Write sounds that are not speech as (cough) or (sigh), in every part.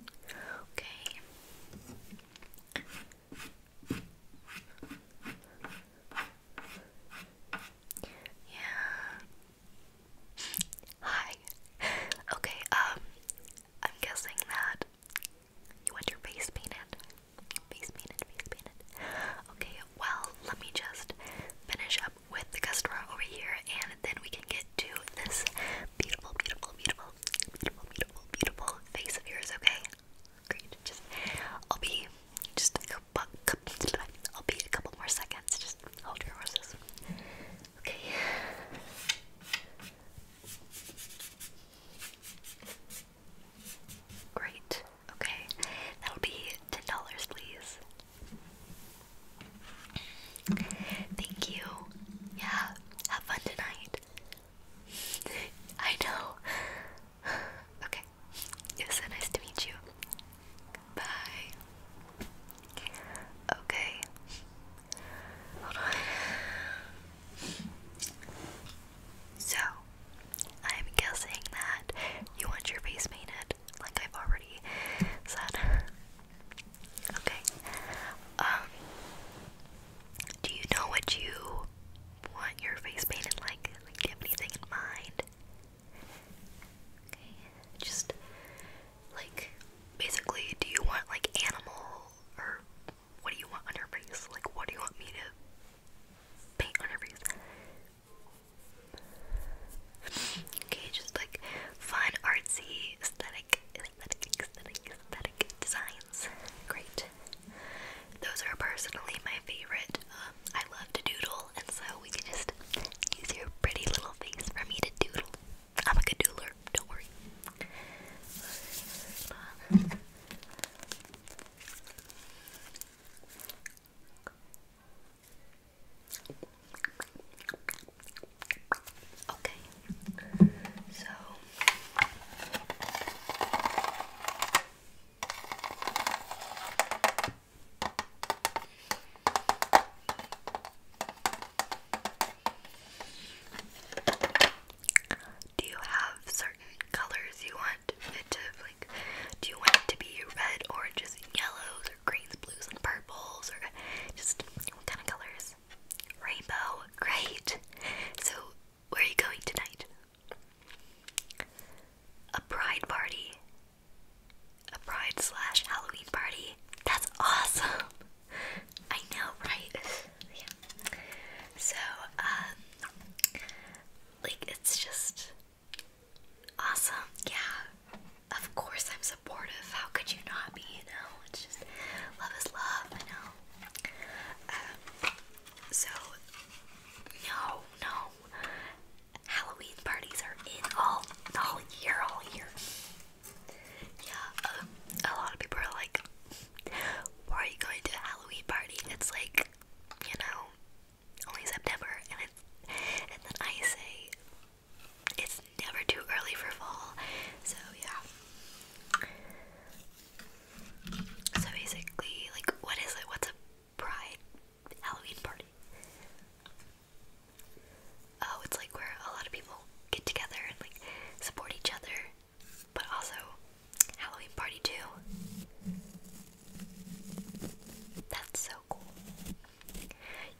Okay. Yeah. Hi. Okay, um, I'm guessing that you want your face painted. Face painted, face painted. Okay, well, let me just finish up with the customer over here and then we can get to this beautiful, beautiful, beautiful, beautiful, beautiful, beautiful face of yours, okay? Great. Just, I'll be just a couple, more seconds. Just hold your horses. Okay. Great. Okay. That'll be ten dollars, please. Thank you. Yeah, have fun tonight. (laughs) I know. (sighs) Okay, it nice to meet you. Bye. Okay. So, I'm guessing that you want your face painted, like I've already said. Okay. Um do you know what you want your face painted like? Like do you have anything in mind? Okay. Just like basically do you want like animal or what do you want on your face? Like what do you want me to paint on your face? okay, just like fun, artsy, aesthetic, aesthetic, aesthetic, designs. Great. Those are personally my favorite. Um, I love to doodle, and so we can just use your pretty little face for me to doodle. I'm a good doodler, don't worry. Okay, so do you have certain colors you want it to like? Do you want it to be red, oranges, yellows, or greens, blues, and purples? purples or just what kind of colors? Rainbow, great. So, where are you going tonight? A bride party. A bride slash Halloween party. That's awesome. I know, right? yeah. So, um, like, it's just Awesome. Yeah. Of course I'm supportive. How could you not be, you know? It's just love is love, I know. Um, so no, no. Halloween parties are in all all year, all year. Yeah, um, a lot of people are like, why are you going to a Halloween party? It's like, you know, only September, and it's, and then I say it's never too early for fall. So yeah. So basically, like, what is it? What's a pride Halloween party? Oh, it's like where a lot of people get together and like support each other, but also Halloween party too. That's so cool.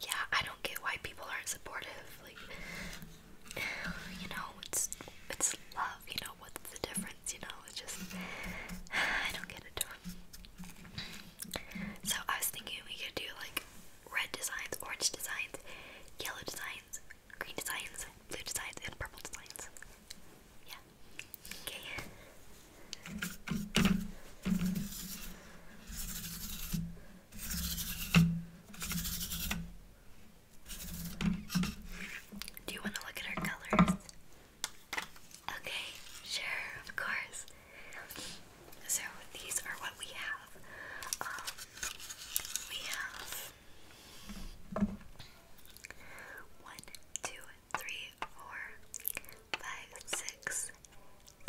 Yeah, I don't get why people aren't supportive. Like, you know, it's it's love. You know, what's the difference? You know, it's just (sighs) I don't get it. So I was thinking we could do like red designs, orange designs, yellow designs, green designs, blue designs, and purple designs. Yeah. Do you want to look at our colors? Okay, sure, of course. So these are what we have. Um, we have one, two, three, four, five, six,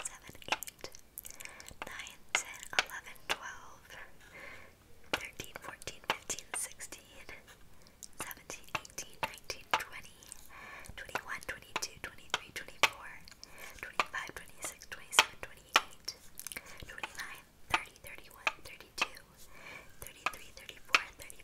seven, eight, nine, ten, eleven, twelve, thirteen, fourteen, fifteen, sixteen, seventeen, eighteen, nineteen, twenty, twenty-one, twenty-two, twenty-three, twenty-four, twenty-five, twenty-six, twenty-seven, twenty-eight, twenty-nine, thirty, thirty-one, thirty-two, thirty-three, thirty-four, thirty.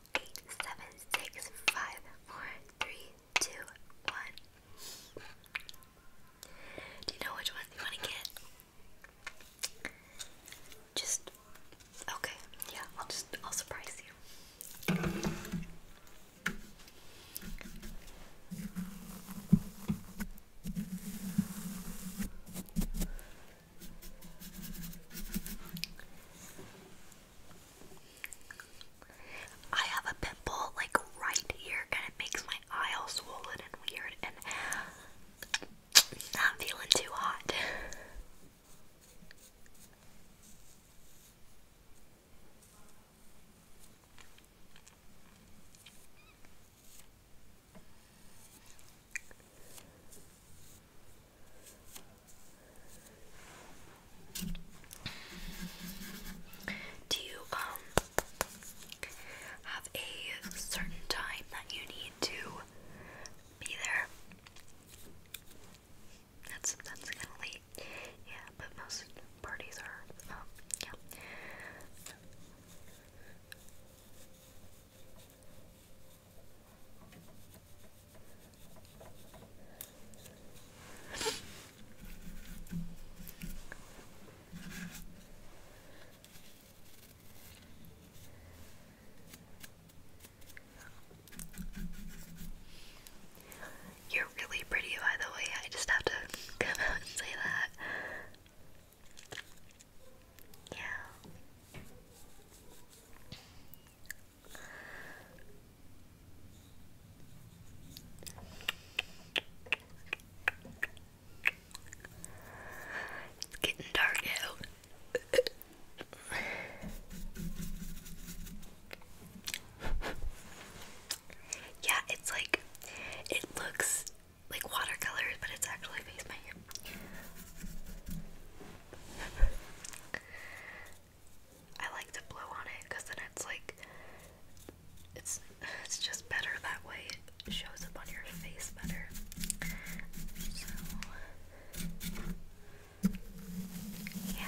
eight, seven, six, five, four, three, two, one. Do you know which one you want to get? Just okay. Yeah, I'll just I'll surprise you. I have a pimple like right here and it makes my eye swollen and weird and not feeling too hot. Do you um have a certain time that you need to be there? That's that's kind of late. Yeah, but most parties are. Um, you're really pretty, by the way. I just have to (laughs) come out and say that. Yeah. It's getting dark out. (laughs) yeah, it's like it looks like watercolors, but it's actually face paint. I like to blow on it because then it's like it's it's just better that way. It shows up on your face better. So yeah.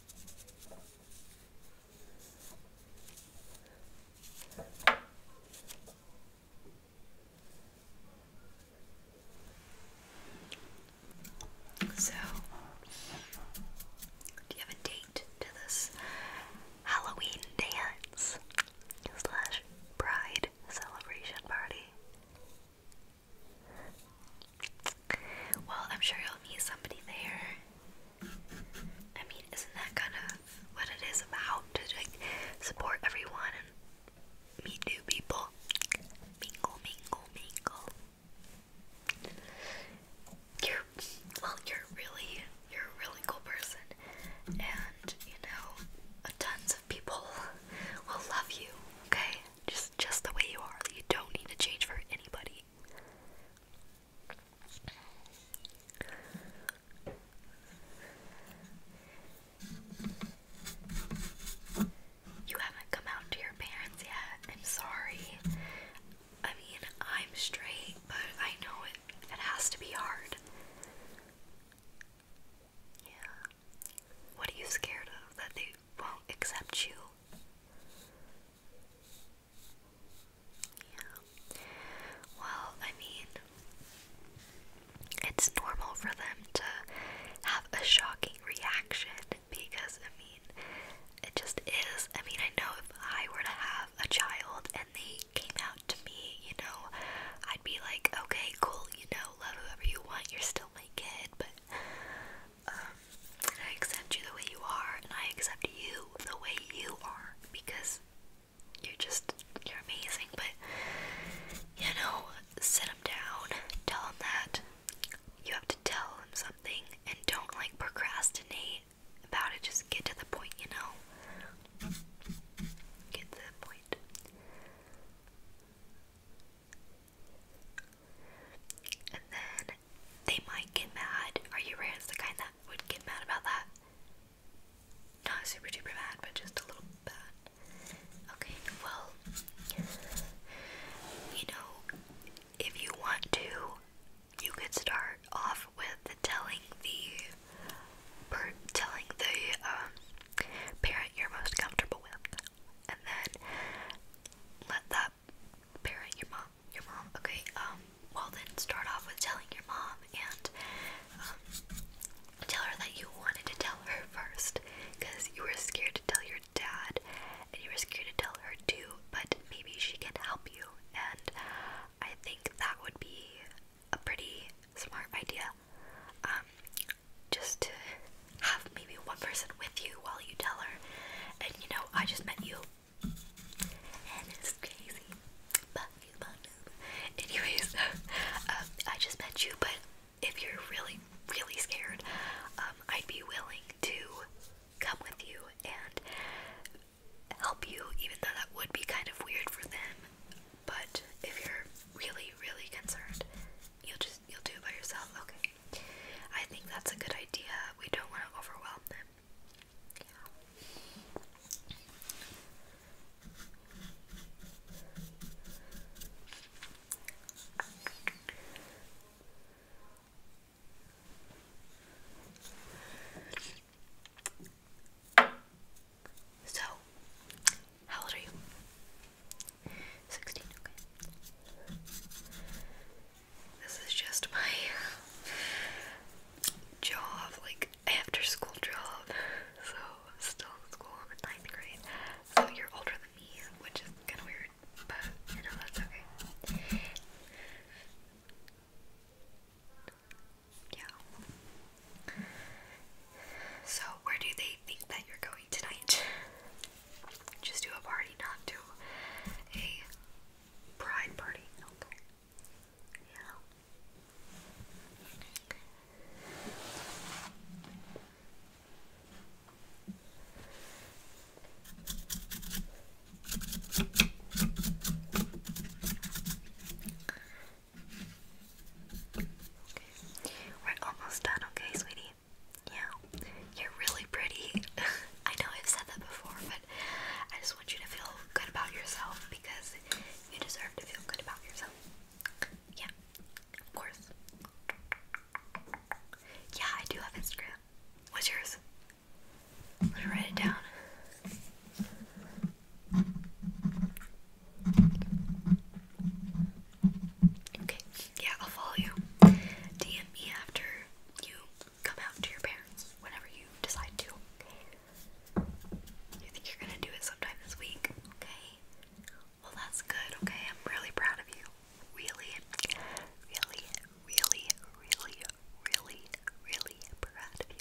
So, do you have a date to this Halloween dance slash bride celebration party? Well, I'm sure you'll meet somebody there. I mean, isn't that kind of what it is about to like support everyone and meet new people? Mingle, mingle, mingle. You're well, you're really you're a really cool person, and you know, tons of people (laughs) will love you. Okay, just just the way you are. You don't need to change for anybody. You haven't come out to your parents yet. I'm sorry. I mean, I'm straight, but I know it it has to be hard. Yeah. What are you scared of? That they won't accept you. Yeah. Well, I mean, it's normal for them to have a shocking reaction because, I mean, it just is. I mean, I know if I were to have a child and they came out to me, you know, I'd be like, okay, cool, you know, love whoever you want, you're still my kid, but um, I accept you the way you are, and I accept you the way you are because you're just you're amazing. But you know, sit him down, tell him that you have to tell him something, and don't like procrastinate about it. Just get to the point, you know. Get to the point. And then they might get mad. Are you rare the kind that would get mad about that? Not super duper bad, but just a little bad. Okay, well, you know, if you want to, you could start off with telling the telling the um, parent you're most comfortable with and then let that parent your mom your mom okay um, well then start off with telling your mom and um, tell her that you wanted to tell her (laughs) first because you were scared to tell your dad and you were scared to tell her too but maybe she can help you and i think that would be a pretty smart idea um just to have maybe one person with you while you tell her. And you know, I just met you. And it's crazy. Anyways, (laughs) um, I just met you, but if you're really, really scared, um, I'd be willing to come with you and help you, even though that would be kind of weird for them. But if you're really, really concerned, you'll just you'll do it by yourself. Okay. I think that's a good idea. We don't want to overwhelm them. Yeah. So, how old are you? 16, okay. This is just my job, like after school job. So, still in school, ninth grade. So, you're older than me, which is kind of weird, but you know, that's okay. Yeah. So, where do they think that you're going tonight? (laughs) Just do a party, not do a pride party. Okay. Yeah. We're almost done, okay, sweetie? Yeah. You're really pretty. (laughs) I know I've said that before, but I just want you to feel good about yourself because you deserve to feel good about yourself. Yeah, of course. Yeah, I do have Instagram. What's yours? I'm gonna write it down. Okay, yeah, I'll follow you. DM me after you come out to your parents, whenever you decide to. You think you're gonna do it sometime this week? Okay. Well, that's good. Okay, I'm really proud of you. Really, really, really, really, really, really proud of you.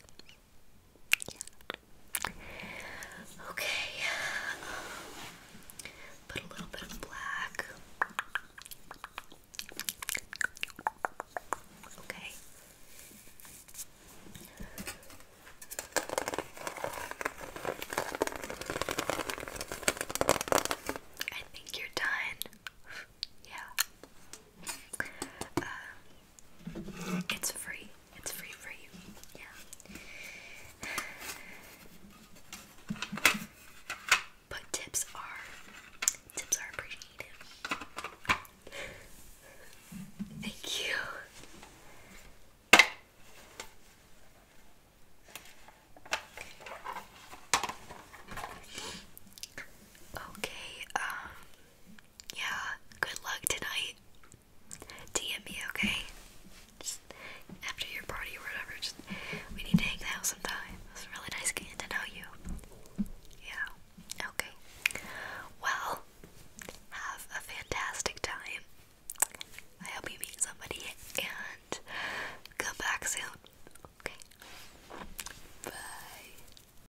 Yeah. Okay. put a little bit of black. Okay. I think you're done. Yeah. Um, it's free. It's free for you. Yeah. But tips are tips are appreciated. Thank you. Okay, um yeah, good luck tonight. DM me, okay? Just after your party or whatever, just we need to hang out sometime. It's really nice getting to know you. Yeah. Okay. Well, have a fantastic time. I hope you meet somebody and come back soon. Okay. Bye.